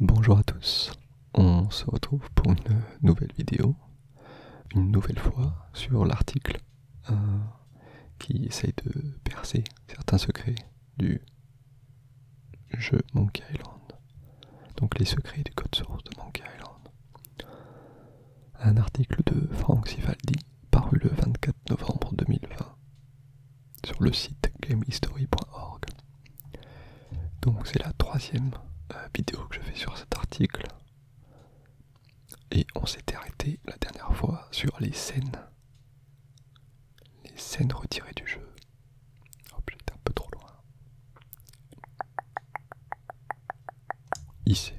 Bonjour à tous, on se retrouve pour une nouvelle vidéo, une nouvelle fois sur l'article euh, qui essaye de percer certains secrets du jeu Monkey Island, donc les secrets du code source de Monkey Island. Un article de Frank Sivaldi paru le 24 novembre 2020 sur le site gamehistory.org. Donc c'est la troisième euh, vidéo que je fais sur cet article. Et on s'était arrêté la dernière fois sur les scènes. Les scènes retirées du jeu. Hop, j'étais un peu trop loin. Ici.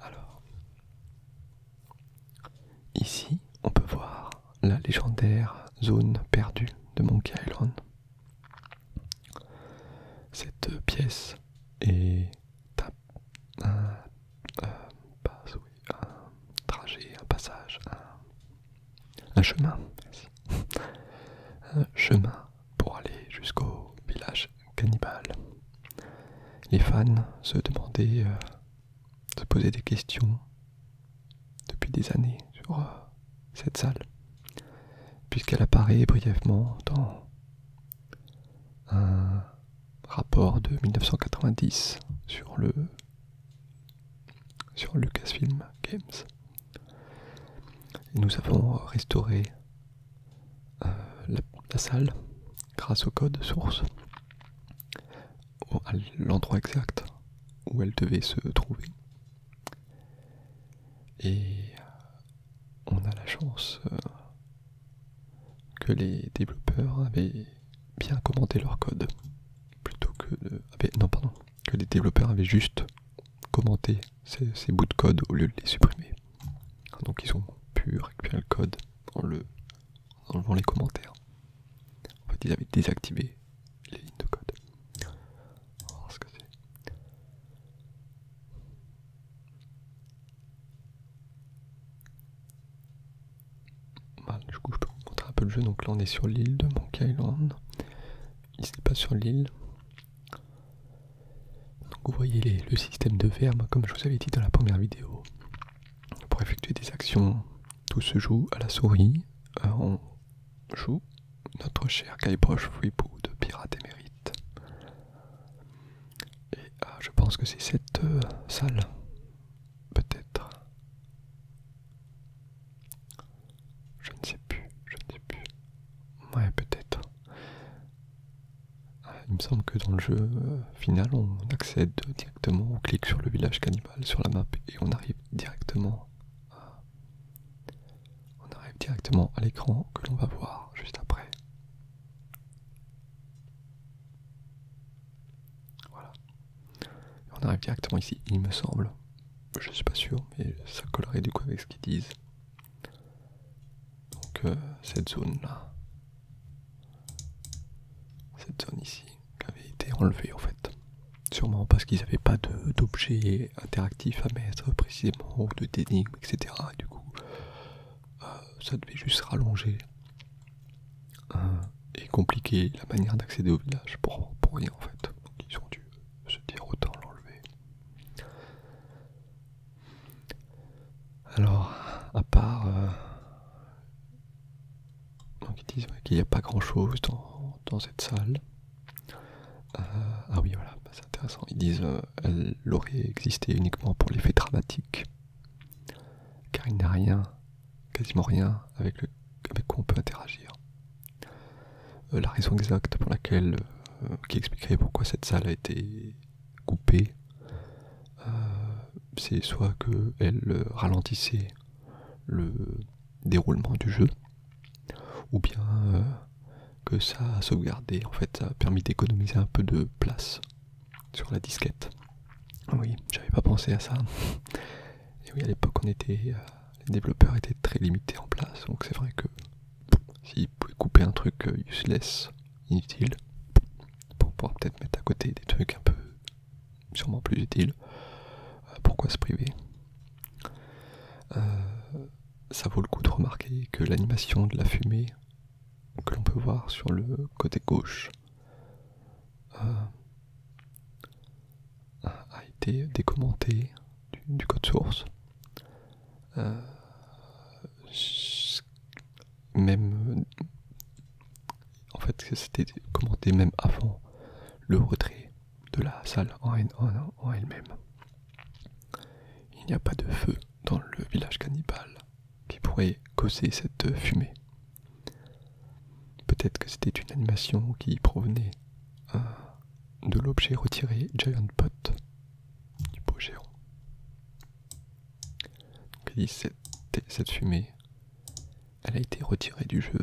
Alors, Ici, on peut voir la légendaire zone perdue de Monkey Island. Cette pièce est un, trajet, un passage, un, chemin. Un chemin pour aller jusqu'au village cannibale. Les fans se demandaient euh, se poser des questions depuis des années sur euh, cette salle, puisqu'elle apparaît brièvement dans un rapport de 1990 sur le sur Lucasfilm Games. nous avons restauré euh, la, salle grâce au code source à l'endroit exact où elle devait se trouver. Et euh, on a la chance euh, que les développeurs avaient bien commenté leur code plutôt que de... non pardon que les développeurs avaient juste commenté ces, bouts de code au lieu de les supprimer donc ils ont pu récupérer le code en le enlevant les commentaires. En fait, ils avaient désactivé les lignes de code. On va voir ce que c'est. Bah, du coup, je peux vous montrer un peu le jeu. Donc là, on est sur l'île de Monkey Island. Ici, pas sur l'île. Donc vous voyez le système de verbe, bah, comme je vous avais dit dans la première vidéo. Pour effectuer des actions, tout se joue à la souris. Euh, on joue notre cher Guybrush Threepwood de Pirate Émérite. Et ah, je pense que c'est cette euh, salle, peut-être. Je ne sais plus, je ne sais plus. Ouais, peut-être. Ah, il me semble que dans le jeu euh, final, on accède directement, on clique sur le village cannibale sur la map et on arrive directement euh, on arrive directement à l'écran que l'on va voir juste après. Voilà. on arrive directement ici, il me semble. Je suis pas sûr, mais ça collerait du coup avec ce qu'ils disent. Donc euh, cette zone là. Cette zone ici avait été enlevé en fait. Sûrement parce qu'ils n'avaient pas d'objets interactifs à mettre précisément, ou de d'énigmes, etc. du coup, euh, ça devait juste rallonger euh, et compliquer la manière d'accéder au village pour, rien en fait. Donc ils ont dû se dire autant l'enlever. Alors, à part euh, donc ils disent qu'il n'y a pas grand chose dans, cette salle. Euh, ah oui, voilà, bah, c'est intéressant. Ils disent qu'elle euh, elle aurait existé uniquement pour l'effet dramatique, car il n'y a rien, quasiment rien, avec, le, quoi on peut interagir. Euh, la raison exacte pour laquelle, qui expliquerait pourquoi cette salle a été coupée, c'est soit qu'elle ralentissait le, déroulement du jeu, ou bien euh, que ça a sauvegardé, en fait ça a permis d'économiser un peu de place sur la disquette. Oui, j'avais pas pensé à ça. Et oui, à l'époque, on était, euh, les développeurs étaient très limités en place, donc c'est vrai que s'ils pouvaient couper un truc euh, useless, inutile, pour pouvoir peut-être mettre à côté des trucs un peu sûrement plus utile. Euh, pourquoi se priver euh, Ça vaut le coup de remarquer que l'animation de la fumée que l'on peut voir sur le côté gauche euh, a été décommentée du, code source. même en fait c'était commenté même avant le retrait de la salle en, elle-même. Il n'y a pas de feu dans le village cannibale qui pourrait causer cette fumée. Peut-être que c'était une animation qui provenait hein, de l'objet retiré Giant Pot du pot géant. Donc, il dit cette fumée elle a été retirée du jeu,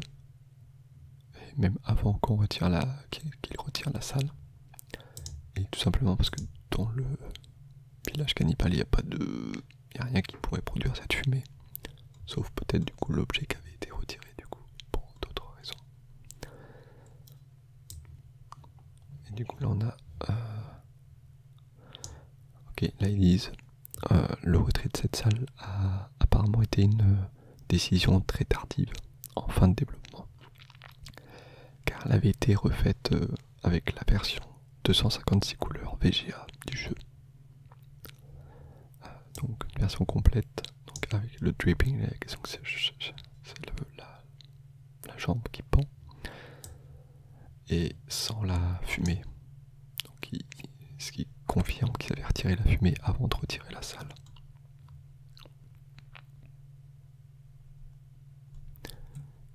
et même avant qu'on retire la, qu'il retire la salle, et tout simplement parce que dans le village cannibale, il n'y a pas de, y a rien qui pourrait produire cette fumée, sauf peut-être du coup l'objet qui avait été retiré du coup pour d'autres raisons. Et du coup là on a, euh, ok, là il euh, le retrait de cette salle a apparemment été une euh, décision très tardive en fin de développement, car elle avait été refaite euh, avec la version 256 couleurs VGA du jeu. Donc une version complète, avec le dripping, c'est la jambe qui pend, et sans la fumée donc, ce qui confirme qu'ils avaient retiré la fumée avant de retirer la salle.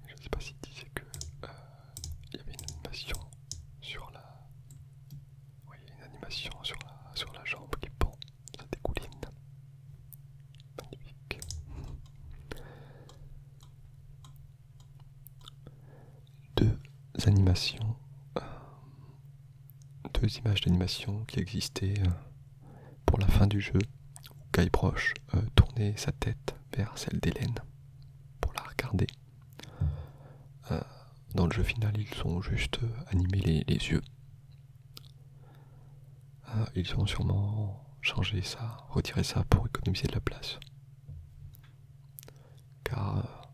Je ne sais pas s'ils disaient que euh, il y avait une animation sur la. une animation sur la, sur la jambe qui pend, ça découline. Magnifique deux animations, euh, deux images d'animation qui existaient euh, pour la fin du jeu, où Guy euh, tournait sa tête vers celle d'Hélène pour la regarder. dans le jeu final, ils ont juste animé les, yeux. ils ont sûrement changé ça, retiré ça pour économiser de la place car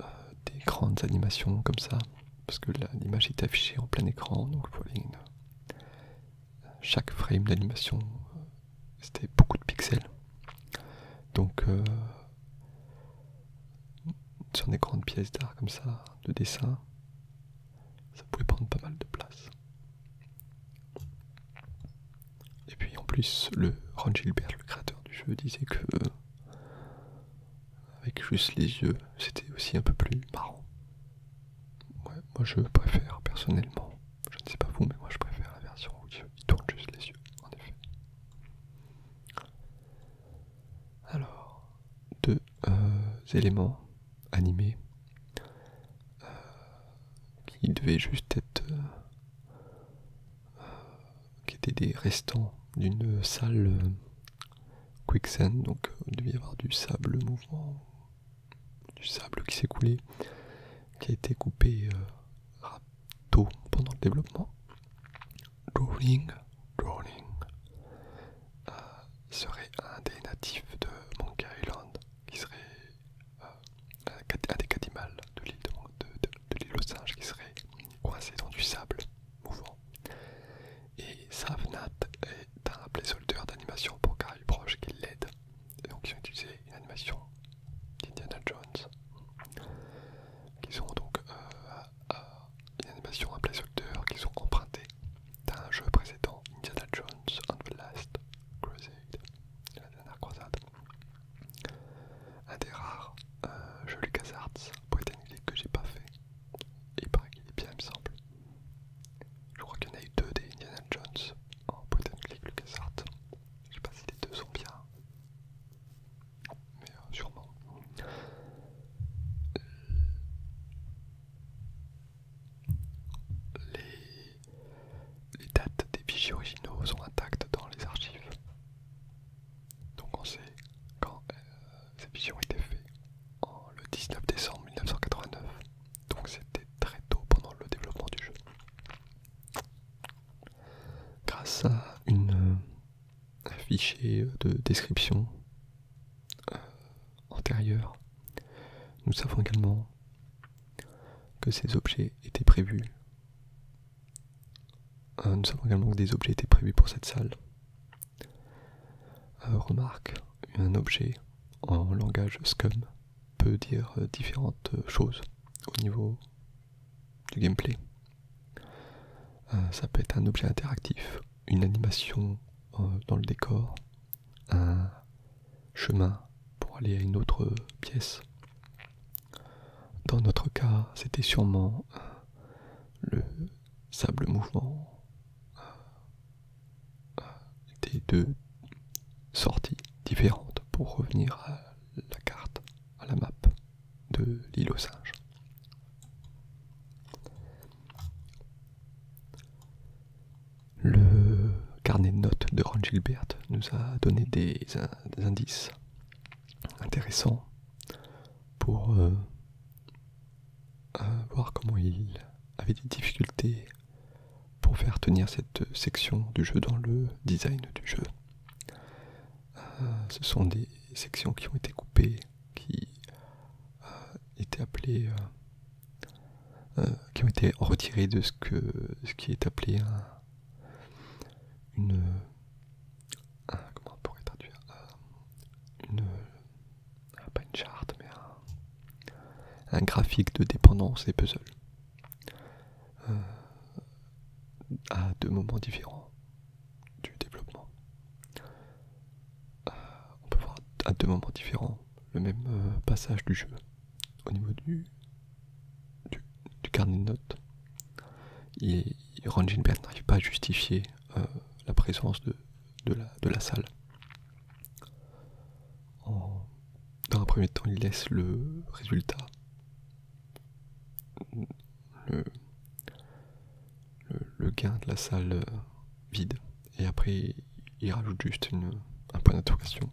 euh, euh, des grandes animations comme ça, parce que l'image est affichée en plein écran, donc euh, chaque frame d'animation, c'était beaucoup de pixels. Donc sur des grandes pièces d'art comme ça, de dessin, ça pouvait prendre pas mal de place. Et puis en plus, le Ron Gilbert, le créateur du jeu, disait que avec juste les yeux, c'était aussi un peu plus marrant. moi je préfère personnellement, je ne sais pas vous, mais moi je préfère la version où il tourne juste les yeux, en effet. Alors, deux euh, éléments animés euh, qui devaient juste être euh, euh, qui étaient des restants d'une salle euh, quicksand, donc euh, il devait y avoir du sable mouvant, du sable qui s'est coulé, qui a été coupé euh, pendant le développement. Drawing, serait un des natifs de Monkey Island, qui serait un des catimales de l'île de, de de l'île aux singes qui serait coincé dans du sable mouvant. Et Savnat est un placeholder d'animation pour Gary Proche qui l'aide. Donc ils ont utilisé une animation d'Indiana Jones. qui sont donc euh, une animation, un qui qu'ils ont emprunté d'un jeu précédent, Indiana Jones and the Last Crusade, la dernière croisade. Un des rares euh, jeux LucasArts britannique que j'ai pas fait. Il paraît qu'il est bien, il me semble. Je crois qu'il y en a eu deux des Indiana Jones en Lucas LucasArts. Je sais pas si les deux sont bien, mais euh, sûrement. Les... les dates des fichiers originaux sont intactes dans les archives. Donc on sait quand euh, cette ces visions été faites en le 19 décembre 1989. Donc c'était très tôt pendant le développement du jeu. Grâce à un euh, fichier de description euh, antérieur, nous savons également que ces objets étaient prévus euh, nous savons également que des objets étaient prévus pour cette salle. Euh, remarque, un objet en langage scum peut dire euh, différentes choses au niveau du gameplay. ça peut être un objet interactif, une animation dans le décor, un chemin pour aller à une autre pièce, dans notre cas, c'était sûrement euh, le sable mouvement euh, euh, des deux sorties différentes pour revenir à la carte, à la map de l'île aux singes. Le carnet de notes de Ron Gilbert nous a donné des, des indices intéressants pour euh, euh, voir comment il avait des difficultés pour faire tenir cette section du jeu dans le design du jeu. Euh, ce sont des sections qui ont été coupées, qui qui ont été retirées de ce que ce qui est appelé une euh, comment on pourrait traduire euh, une, euh, une charte mais un, graphique de dépendance et puzzle à deux moments différents du développement. on peut voir à deux moments différents le même passage du jeu au niveau du, du, carnet de notes. Il Ron Bert n'arrive pas à justifier euh, la présence de, de, la, salle. dans un premier temps, il laisse le résultat, le, gain de la salle euh, vide, et après il rajoute juste un point d'interrogation.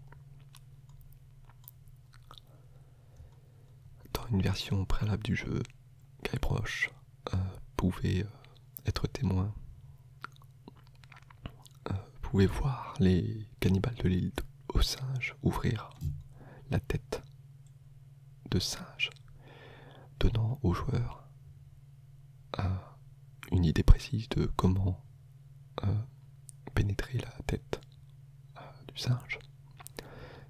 Dans une version préalable du jeu, très proche, euh, pouvait euh, être témoin, euh, pouvait voir les cannibales de l'île aux singes ouvrir la tête de singe, donnant au joueur une idée précise de comment pénétrer la tête du singe.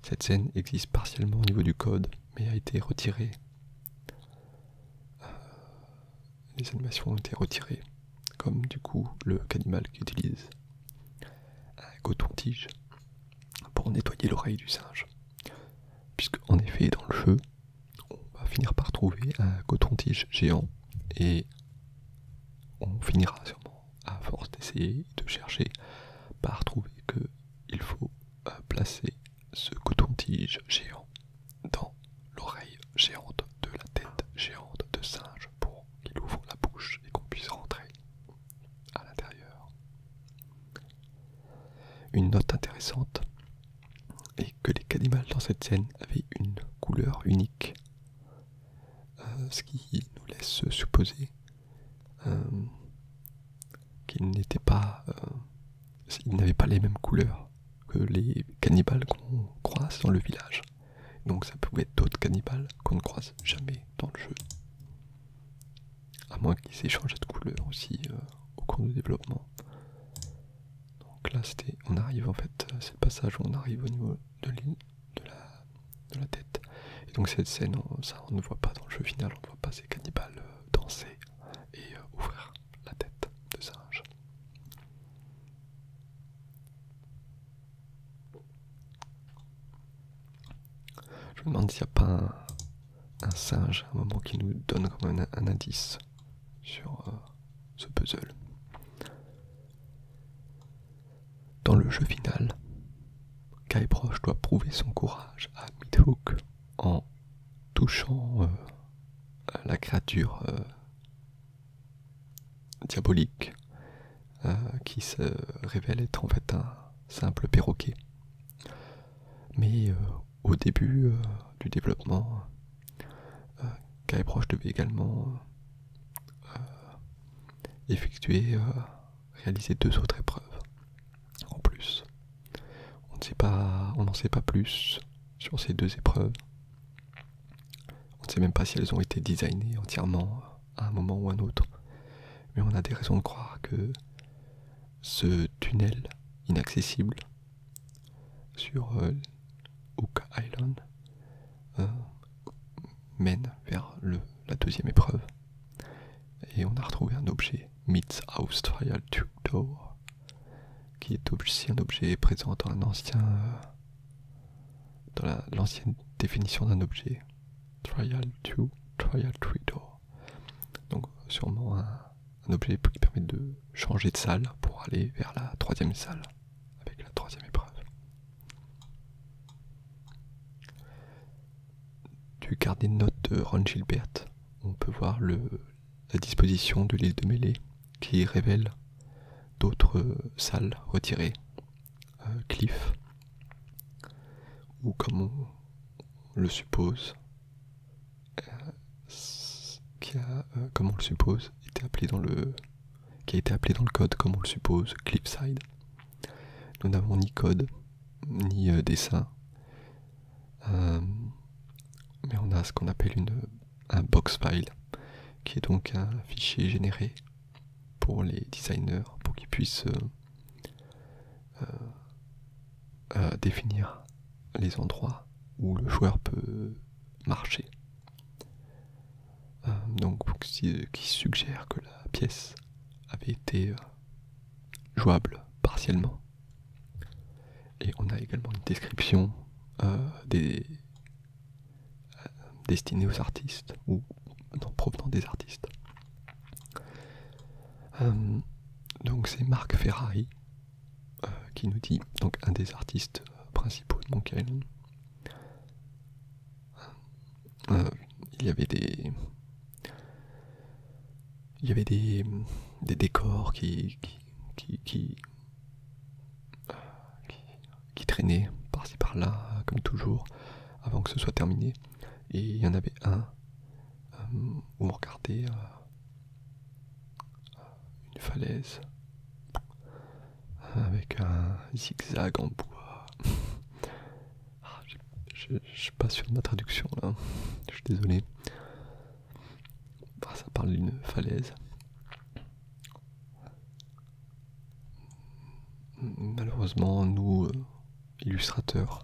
Cette scène existe partiellement au niveau du code, mais a été retirée. Euh, les animations ont été retirées, comme du coup le canimal qui utilise un coton-tige pour nettoyer l'oreille du singe. Puisque en effet, dans le jeu, on va finir par trouver un coton-tige géant et on finira sûrement, à force d'essayer de chercher, par trouver que il faut euh, placer ce coton-tige géant dans l'oreille géante de la tête géante de singe pour qu'il ouvre la bouche et qu'on puisse rentrer à l'intérieur. Une note intéressante est que les cannibales dans cette scène avaient une couleur unique, euh, ce qui nous laisse supposer euh, qu'ils n'étaient pas, euh, n'avaient pas les mêmes couleurs que les cannibales qu'on croise dans le village. Donc ça pouvait être d'autres cannibales qu'on ne croise jamais dans le jeu. À moins qu'ils aient changé de couleur aussi euh, au cours du développement. Donc là c'était, on arrive en fait, c'est le passage où on arrive au niveau de l'île de la de la tête. Et donc cette scène, on, ça on ne voit pas dans le jeu final, on ne voit pas ces cannibales euh, danser et euh, ouvrir la tête de singe. Je me demande s'il n'y a pas un, singe à un moment qui nous donne comme un, indice sur euh, ce puzzle. Dans le jeu final, Kai doit prouver son courage à Midhook en touchant euh, la créature euh, diabolique euh, qui se révèle être en fait un simple perroquet. Mais au début du développement, euh, devait également effectuer réaliser deux autres épreuves. En plus, on ne sait, sait pas plus sur ces deux épreuves. On ne sait même pas si elles ont été designées entièrement à un moment ou à un autre. Mais on a des raisons de croire que ce tunnel inaccessible sur Hook euh, Island euh, mène vers la deuxième épreuve. Et on a retrouvé un objet, Trial two door, qui est aussi un objet présent dans euh, dans l'ancienne définition d'un objet. Trial 2, Trial door. Donc, sûrement un objet qui permet de changer de salle pour aller vers la troisième salle, avec la troisième épreuve du carnet de notes de Ron Gilbert, on peut voir la disposition de l'île de Mêlée qui révèle d'autres salles retirées, euh, cliff, ou comme on le suppose, qui on le suppose, appelé qui a été appelé dans le code, comme on le suppose, cliffside. Nous n'avons ni code, ni euh, dessin. Euh, mais on a ce qu'on appelle une, un box file, qui est donc un fichier généré pour les designers, pour qu'ils puissent euh, définir les endroits où le joueur peut marcher. donc, qui suggère que la pièce avait été jouable partiellement. Et on a également une description euh, des, euh, destinée aux artistes, ou provenant des artistes. Euh, donc c'est Marc Ferrari qui nous dit, donc un des artistes principaux de Monkey il y avait des, il y avait des, décors qui, traînaient par-ci par-là, comme toujours, avant que ce soit terminé. Et il y en avait un euh, où on regardait euh, une falaise avec un zigzag en bois. Ah, je suis pas sûr de ma traduction là, je suis désolé. Ah, ça parle d'une falaise. Malheureusement, nous, euh, illustrateurs,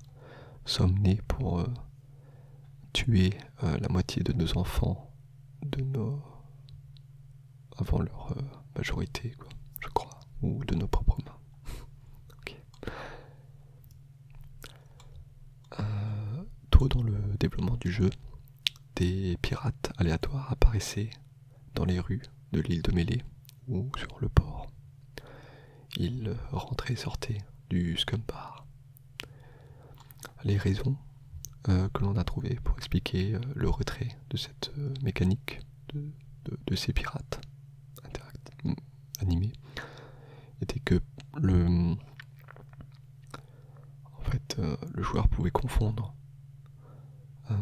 sommes nés pour euh, tuer euh, la moitié de nos enfants de avant leur majorité, quoi, je crois, ou de nos propres mains. Euh, tôt dans le développement du jeu, des pirates aléatoires apparaissaient dans les rues de l'île de Melee ou sur le port. Ils rentraient et sortaient du Scum Bar. Les raisons euh, que l'on a trouvées pour expliquer euh, le retrait de cette mécanique de, ces pirates animé était que le en fait euh, le joueur pouvait confondre euh,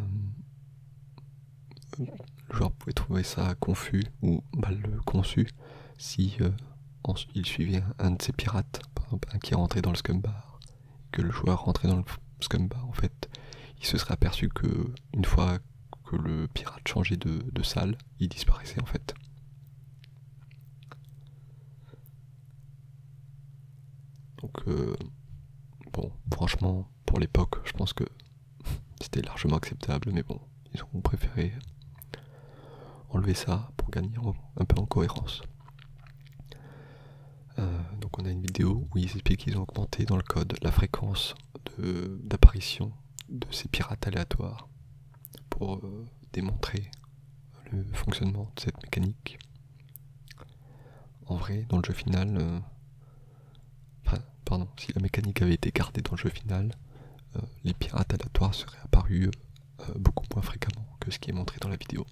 le joueur pouvait trouver ça confus ou mal conçu si euh, il suivait un, de ses pirates qui est rentré dans le scumbar que le joueur rentrait dans le scumbar en fait il se serait aperçu que une fois que le pirate changeait de salle il disparaissait en fait. Donc, euh, bon, franchement, pour l'époque, je pense que c'était largement acceptable, mais bon, ils ont préféré enlever ça pour gagner un peu en cohérence. Euh, donc on a une vidéo où ils expliquent qu'ils ont augmenté dans le code la fréquence d'apparition de ces pirates aléatoires pour euh, démontrer le fonctionnement de cette mécanique. En vrai, dans le jeu final, euh, pardon, si la mécanique avait été gardée dans le jeu final, euh, les pirates aléatoires seraient apparus beaucoup moins fréquemment que ce qui est montré dans la vidéo.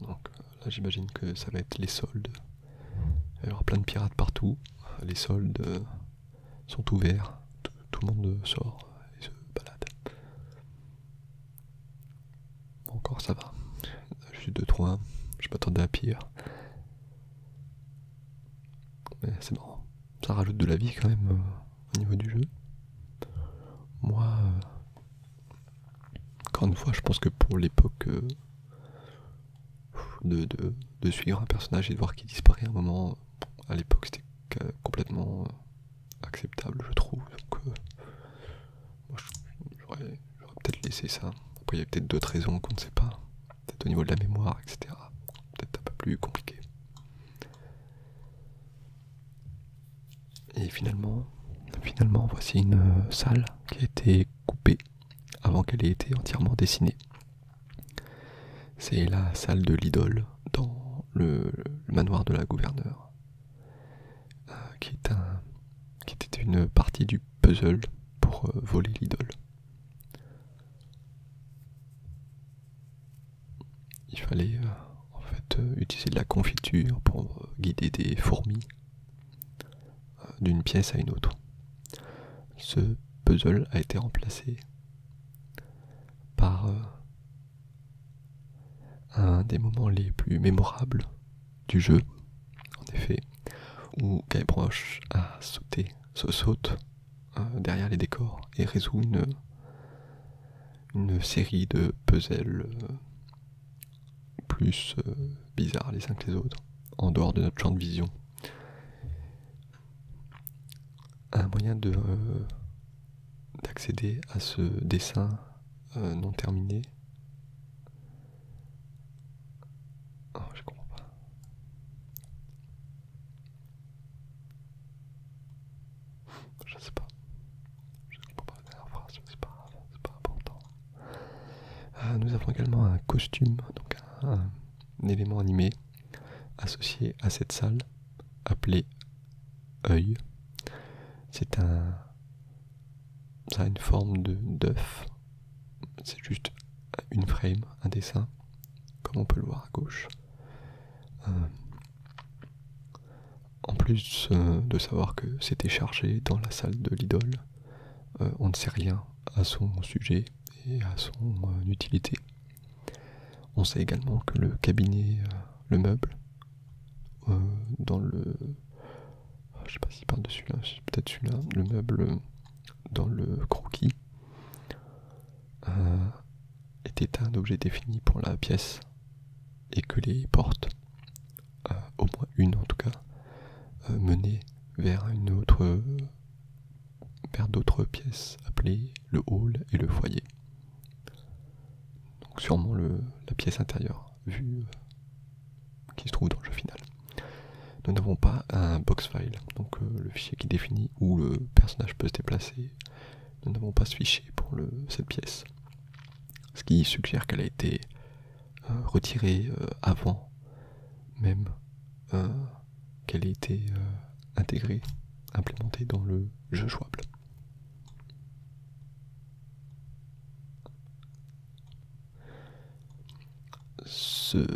Donc euh, là j'imagine que ça va être les soldes. Il y aura plein de pirates partout. Les soldes euh, sont ouverts. Tout, le monde sort et se balade. encore ça va. Je suis 2-3. Je m'attendais à pire. Mais c'est bon, Ça rajoute de la vie quand même euh, au niveau du jeu. Moi, encore une fois, je pense que pour l'époque euh, de, suivre un personnage et de voir qu'il disparaît à un moment, à l'époque c'était complètement euh, acceptable, je trouve. Donc, euh, j'aurais peut-être laissé ça. il y a peut-être d'autres raisons qu'on ne sait pas. Peut-être au niveau de la mémoire, etc. Peut-être un peu plus compliqué. Et finalement, finalement voici une euh, salle qui a été coupée avant qu'elle ait été entièrement dessinée. C'est la salle de l'idole dans le, manoir de la gouverneure, euh, qui, était une partie du puzzle pour euh, voler l'idole. Il fallait en fait utiliser de la confiture pour guider des fourmis d'une pièce à une autre. Ce puzzle a été remplacé par euh, un des moments les plus mémorables du jeu, en effet, où Guy a sauté, se saute euh, derrière les décors et résout une, série de puzzles euh, plus euh, bizarre les uns que les autres, en dehors de notre champ de vision. Un moyen euh, d'accéder à ce dessin euh, non terminé. Oh, je comprends pas. Je sais pas. Je pas euh, nous avons également un costume, donc un, élément animé associé à cette salle, appelé œil. C'est un. Ça a une forme d'œuf. C'est juste une frame, un dessin, comme on peut le voir à gauche. Euh, en plus euh, de savoir que c'était chargé dans la salle de l'idole, euh, on ne sait rien à son sujet et à son euh, utilité. On sait également que le cabinet, le meuble, dans le... Ah, je sais pas si de là peut-être celui-là, le meuble dans le croquis était un objet défini pour la pièce et que les portes au moins une en tout cas, euh, menée vers une autre vers d'autres pièces appelées le hall et le foyer. Donc sûrement le, la pièce intérieure, vue euh, qui se trouve dans le jeu final. Nous n'avons pas un box file, donc euh, le fichier qui définit où le personnage peut se déplacer. Nous n'avons pas ce fichier pour le, cette pièce. Ce qui suggère qu'elle a été euh, retirée euh, avant même euh, qu'elle ait été intégrée, implémentée dans le jeu jouable. Ce,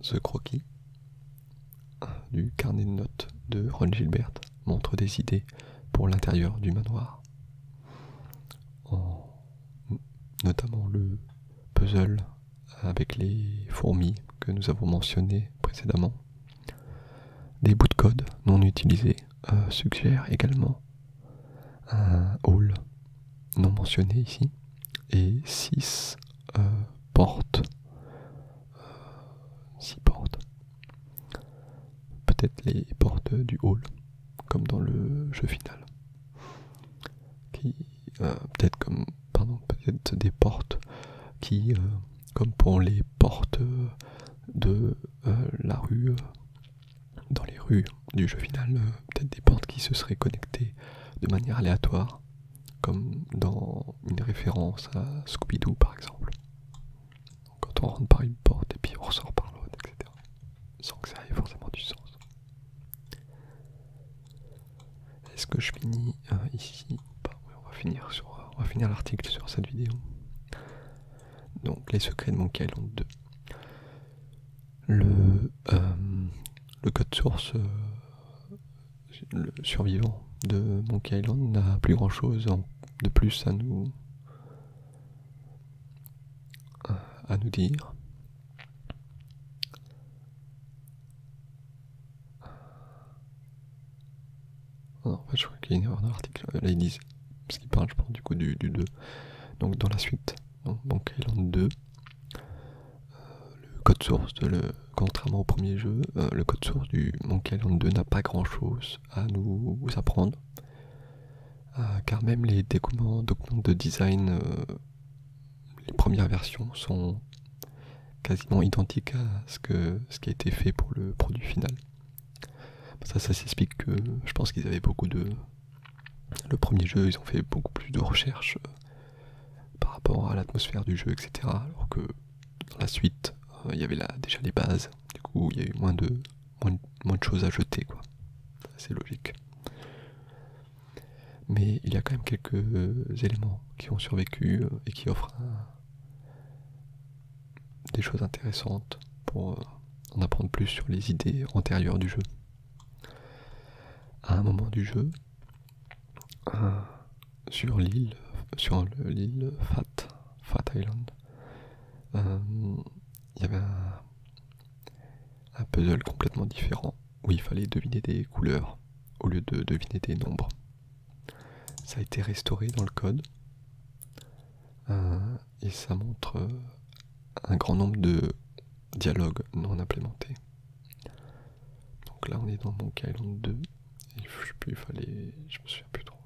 ce croquis du carnet de notes de Ron Gilbert montre des idées pour l'intérieur du manoir notamment le puzzle avec les fourmis que nous avons mentionné précédemment. Des bouts de code non utilisés euh, suggèrent également un hall non mentionné ici et 6 euh, portes. Euh, portes Peut-être les portes du hall, comme dans le jeu final. Qui, euh, peut-être comme, peut-être des portes qui, euh, comme pour les portes euh, de la rue, dans les rues du jeu final, peut-être des portes qui se seraient connectées de manière aléatoire, comme dans une référence à Scooby-Doo par exemple quand on rentre par une porte et puis on ressort par l'autre, etc. Sans que ça ait forcément du sens. Est-ce que je finis euh, ici oui, On va finir sur, euh, on va finir l'article sur cette vidéo. Donc les secrets de Monkey Island 2. Euh, le, code source survivant de Monkey Island n'a plus grand chose de plus à nous euh, à nous dire. en fait, je crois qu'il y a une erreur dans l'article. Euh, là, ils disent, parce qu'ils parlent, je pense, du coup, du, 2. Donc, dans la suite, donc Island 2, euh, le code source, de le, contrairement au premier jeu, le code source du Bank Island 2 n'a pas grand chose à nous apprendre. Ah, car même les documents, de design, euh, les premières versions sont quasiment identiques à ce, qui a été fait pour le produit final. Ça, ça s'explique que je pense qu'ils avaient beaucoup de... Le premier jeu, ils ont fait beaucoup plus de recherches euh, par rapport à l'atmosphère du jeu, etc. Alors que dans la suite, euh, il y avait là déjà les bases, du coup il y a eu moins de moins, de choses à jeter, quoi. C'est logique. Mais il y a quand même quelques euh, éléments qui ont survécu euh, et qui offrent des choses intéressantes pour euh, en apprendre plus sur les idées antérieures du jeu. À un moment du jeu, sur l'île, sur l'île Fat, Fat Island, il y avait un, puzzle complètement différent où il fallait deviner des couleurs au lieu de deviner des nombres. Ça a été restauré dans le code euh, et ça montre euh, un grand nombre de dialogues non implémentés. Donc là on est dans mon Kylon 2 il fallait, je me souviens plus trop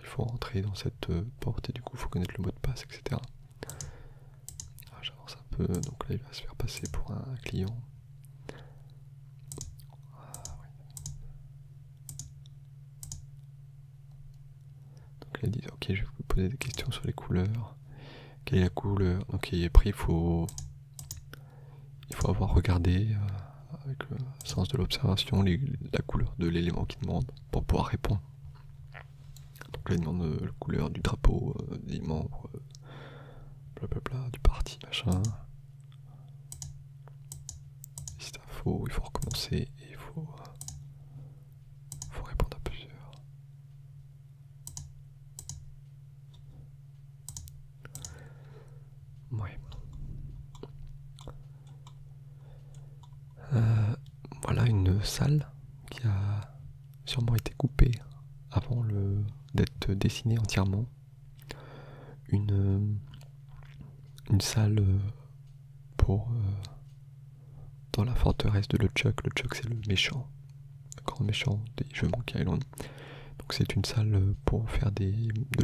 il faut rentrer dans cette euh, porte et du coup il faut connaître le mot de passe, etc. Ah, j'avance un peu, donc là il va se faire passer pour un client. Ah, donc là il dit, ok je vais vous poser des questions sur les couleurs. Quelle est la couleur Ok, il il faut, il faut avoir regardé. Euh, avec le sens de l'observation, la couleur de l'élément qui demande pour pouvoir répondre. Donc là il demande euh, la couleur du drapeau, euh, des membres, euh, du parti, machin. C'est si faux, il faut recommencer et il faut, répondre à plusieurs. Euh, voilà une salle qui a sûrement été coupée avant d'être dessinée entièrement. Une, euh, salle euh, pour dans la forteresse de Le Chuck. c'est le méchant, le grand méchant des jeux Monkey Island. Donc c'est une salle pour faire de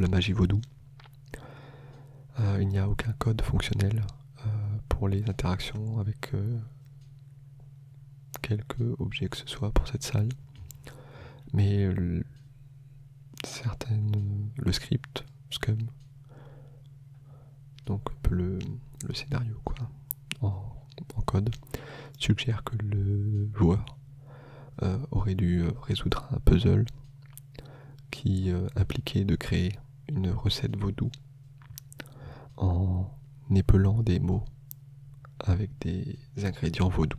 la magie vaudou. Euh, il n'y a aucun code fonctionnel euh, pour les interactions avec euh, quelques objets que ce soit pour cette salle. Mais le, certaines, le script, Scum, donc le, le scénario en, code, suggère que le joueur aurait dû résoudre un puzzle qui euh, impliquait de créer une recette vaudou en épelant des mots avec des ingrédients vaudous.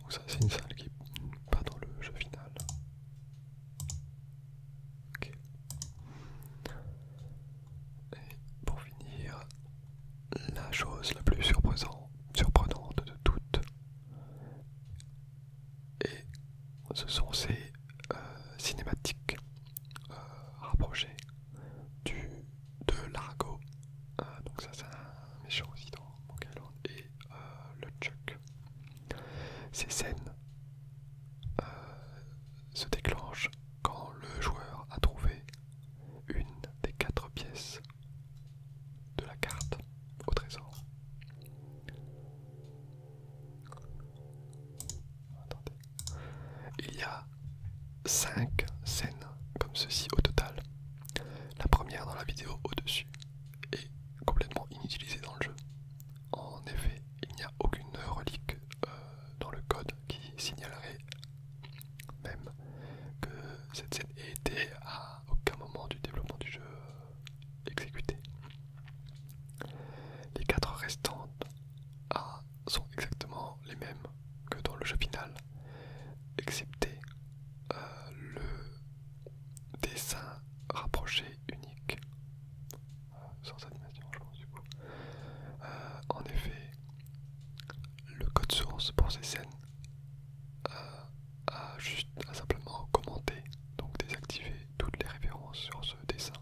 donc ça c'est une salle qui n'est pas dans le jeu final. Et pour finir, la chose la plus surprenante de toutes, et ce sont ces euh, cinématiques euh, rapprochées du, de Largo. Euh, donc ça c'est un méchant aussi dans mon calendrier. Euh, le Chuck. Ces scènes euh, se déclenchent quand le joueur a trouvé une des quatre pièces de la carte au trésor. Il y a cinq scènes comme ceci au total. La première dans la vidéo au-dessus est complètement inutilisée dans le jeu. En effet, il n'y a aucune relique euh, dans le code qui signalerait même que cette scène ait été à aucun moment du développement du jeu euh, exécutée. Les quatre restantes ah, sont exactement les mêmes que dans le jeu final, excepté euh, le dessin rapproché unique euh, sans animation je pense du euh, en effet le code source pour ces scènes euh, a juste a simplement commenté donc désactivé toutes les références sur ce dessin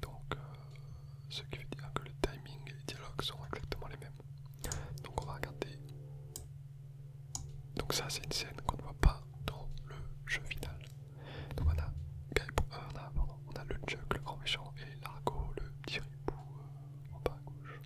donc ce qui veut dire que le timing et les dialogues sont exactement les mêmes donc on va regarder donc ça c'est une scène qu'on ne voit pas dans le jeu final. Donc on a, euh, le Chuck, le grand méchant, et Largo, le petit ribou euh, en bas à gauche.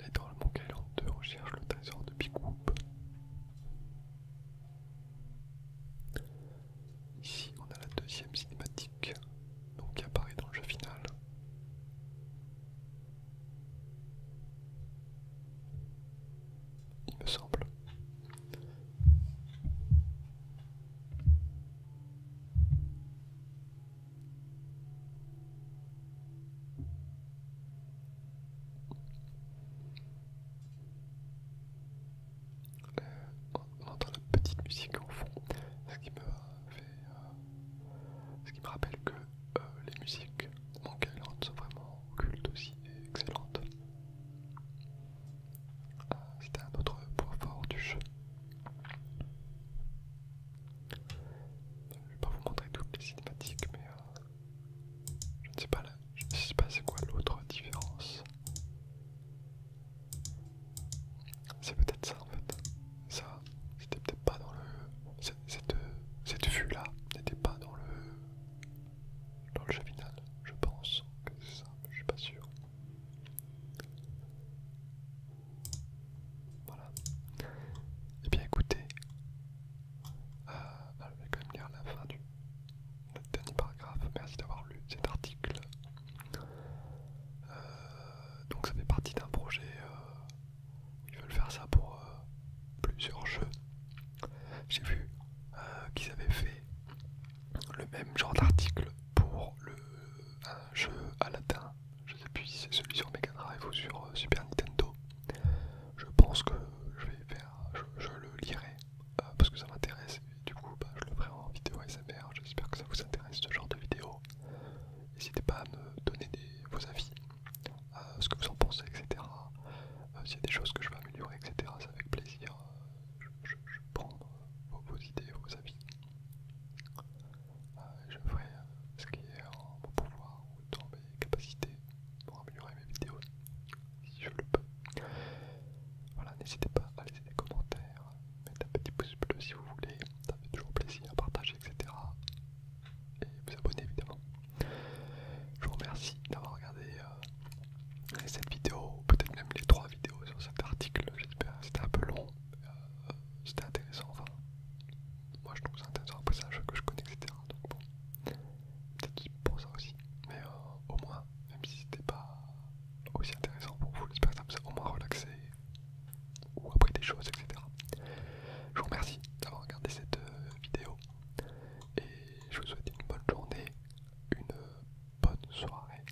Et dans le monde en 2, on cherche le trésor de Big Whoop. Ici, on a la deuxième cinématique, donc qui apparaît dans le jeu final. Il me semble on euh, entend la petite musique en fond, ce qui me fait, euh, ce qui me rappelle que euh, les musiques mangalantes sont vraiment cultes aussi et excellentes. Ah, c'était un autre point fort du jeu. Je ne vais pas vous montrer toutes les cinématiques, mais je sais pas là, je sais pas c'est quoi l'autre différence. C'est peut-être ça en fait. Ça, c'était peut-être pas dans le. Cette, vue là n'était pas dans le. Dans le jeu final, je pense que c'est ça, mais je suis pas sûr. Voilà. Et eh bien écoutez, euh, ah, je vais quand même la fin du, dernier paragraphe, merci d'avoir lu cet article. Euh, donc ça fait partie d'un projet euh, ils veulent faire ça pour euh, plusieurs jeux. J'ai vu qu'ils avaient fait le même genre d'article pour le, un jeu latin. Je sais plus si c'est celui sur Mega Drive ou sur Super Nintendo. Je pense que je vais faire, je le lirai euh, parce que ça m'intéresse et du coup bah, je le ferai en vidéo SMR, J'espère que ça vous intéresse ce genre de vidéo. N'hésitez pas à me donner vos avis, euh, ce que vous en pensez, etc. Euh, s'il y a des choses que je veux améliorer, etc. C'est avec plaisir. Je, je, prends vos, idées, vos avis. je ferai ce qui est en mon pouvoir ou dans mes capacités pour améliorer mes vidéos si je le peux. Voilà, n'hésitez pas à laisser des commentaires, mettre un petit pouce bleu si vous voulez, ça fait toujours plaisir, à partager, etc. Et vous abonner évidemment. Je vous remercie d'avoir regardé cette euh, vidéo, peut-être même les trois vidéos sur cet article, j'espère. C'était un peu long, mais euh, c'était intéressant, enfin. Moi je trouve ça intéressant, après c'est un jeu que je connais, etc. Donc bon, peut-être pour ça aussi. Mais euh, au moins même si c'était pas aussi intéressant pour vous, j'espère que ça vous a au moins relaxé ou appris des choses, etc. Je vous remercie d'avoir regardé cette euh, vidéo et je vous souhaite une bonne journée, une bonne soirée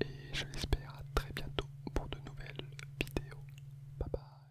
et je l'espère à très bientôt pour de nouvelles vidéos. Bye bye